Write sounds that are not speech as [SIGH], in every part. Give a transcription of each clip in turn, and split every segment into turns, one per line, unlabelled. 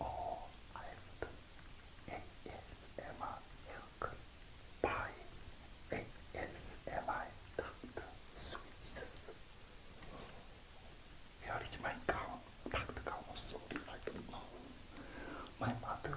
All i by ASMR Dr. Switches. Here is my cow, Dr. Cow, sorry, I do My mother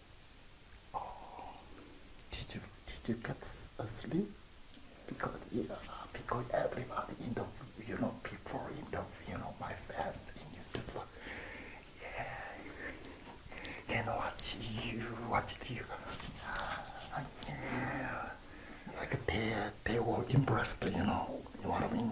Oh, did you did you get asleep? Because yeah, because everybody in the you know people in the you know my fans in YouTube, like, yeah, can watch you watch you. Like they they were impressed, you know. You know what I mean?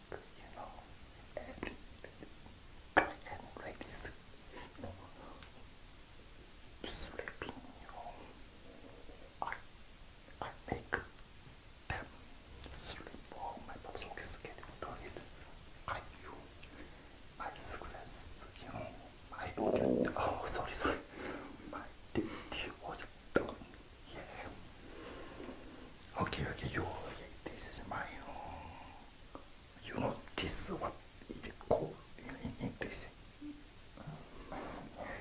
you know, every client like this, you know, sleeping, you know, I, I make them sleep on my personal schedule, do it, I do my success, you know, my, oh, sorry, sorry, my duty was done, yeah. Okay, okay, you, this is my own. You know, this is what it's called in English.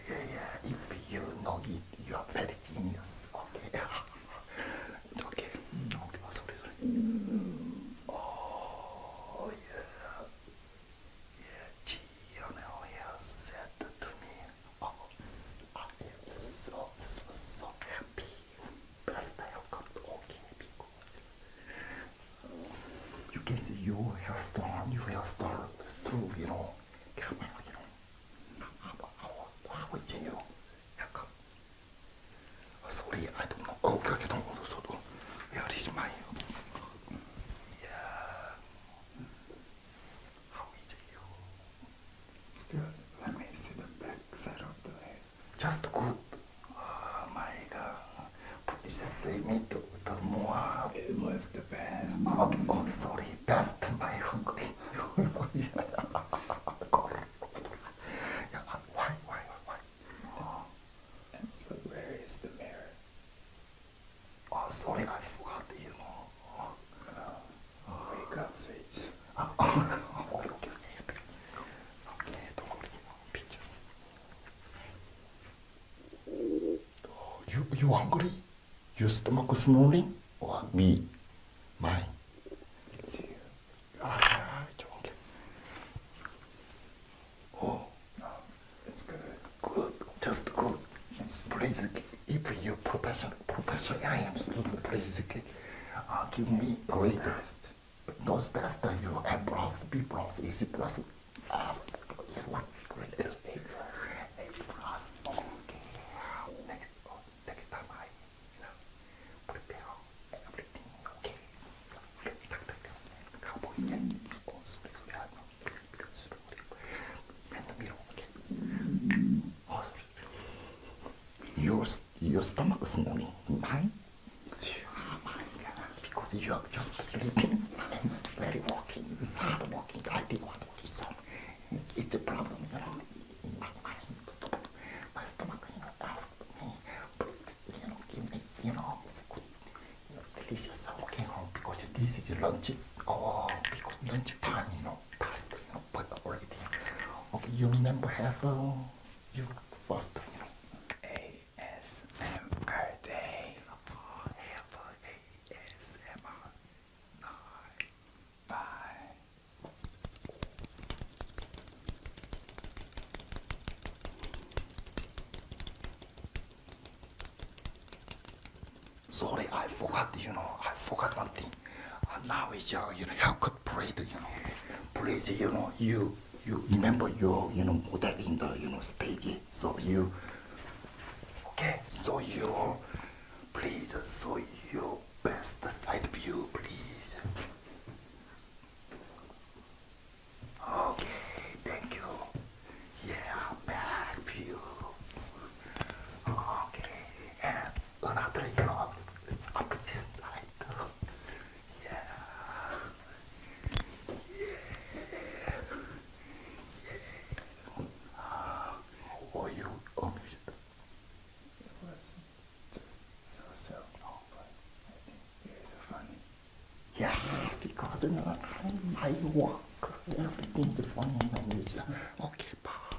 Yeah, yeah, if you know it, you are very genius. Okay, yeah. okay, okay, oh, sorry, sorry. Oh, yeah. Yeah, Gino has said to me, oh, I am so, so, so happy. Простая укладка. You can see your hairstyle, your hairstyle is through, you know. Come on, you know. How, how, how would you know? How come? Oh, sorry, I don't know. Oh, okay, okay, don't worry. So, don't. Where is my... Yeah. How is you? Still, let me see the back side of the head. Just good. Oh my god. Please save me to the more. It was the best. Okay, oh, sorry. Best my hungry. [LAUGHS] why, why, why? Oh. And where is the mirror? Oh, sorry, I forgot, you know. Oh. Wake up, Sage. Ah, okay, okay. Okay, don't worry. Picture. You, you hungry? Your stomach snoring? Or me? Mine? It's you. Ah, it's okay. Oh, no, it's good. Good, just good. Please, if you professional. Professor, Professor, I am student, please uh, give me great those best that you uh, A plus, B plus, E C what grade is A okay. Next, oh, next time I know, prepare everything, okay? Okay, doctor, come on, have no, because and the mirror, okay? Oh, your stomach is knowing mine. Oh my God. Because you are just sleeping I and very walking. It's hard walking. I did what he saw. It's a problem, you know. In my mind, stomach. My stomach, you know, asked me, please, you know, give me, you know, good, you know, delicious okay, home because this is lunch. Oh, because lunch time, you know, past, you know, but already. Okay, you remember have. a. You first time. ASMR day. Oh, ASMR night. Bye. Sorry, I forgot. You know, I forgot one thing. Uh, now it's uh, you know how could pray to you know parade you know you you remember your you know model in the you know stage so you okay so you please uh, show your best side view please okay thank you yeah I'm back you. okay another yacht up this side. Yeah. Yeah. Yeah. you amused? It was just so so oh, but I funny. Yeah, because in my I, I work. Everything's funny in the Okay, bye.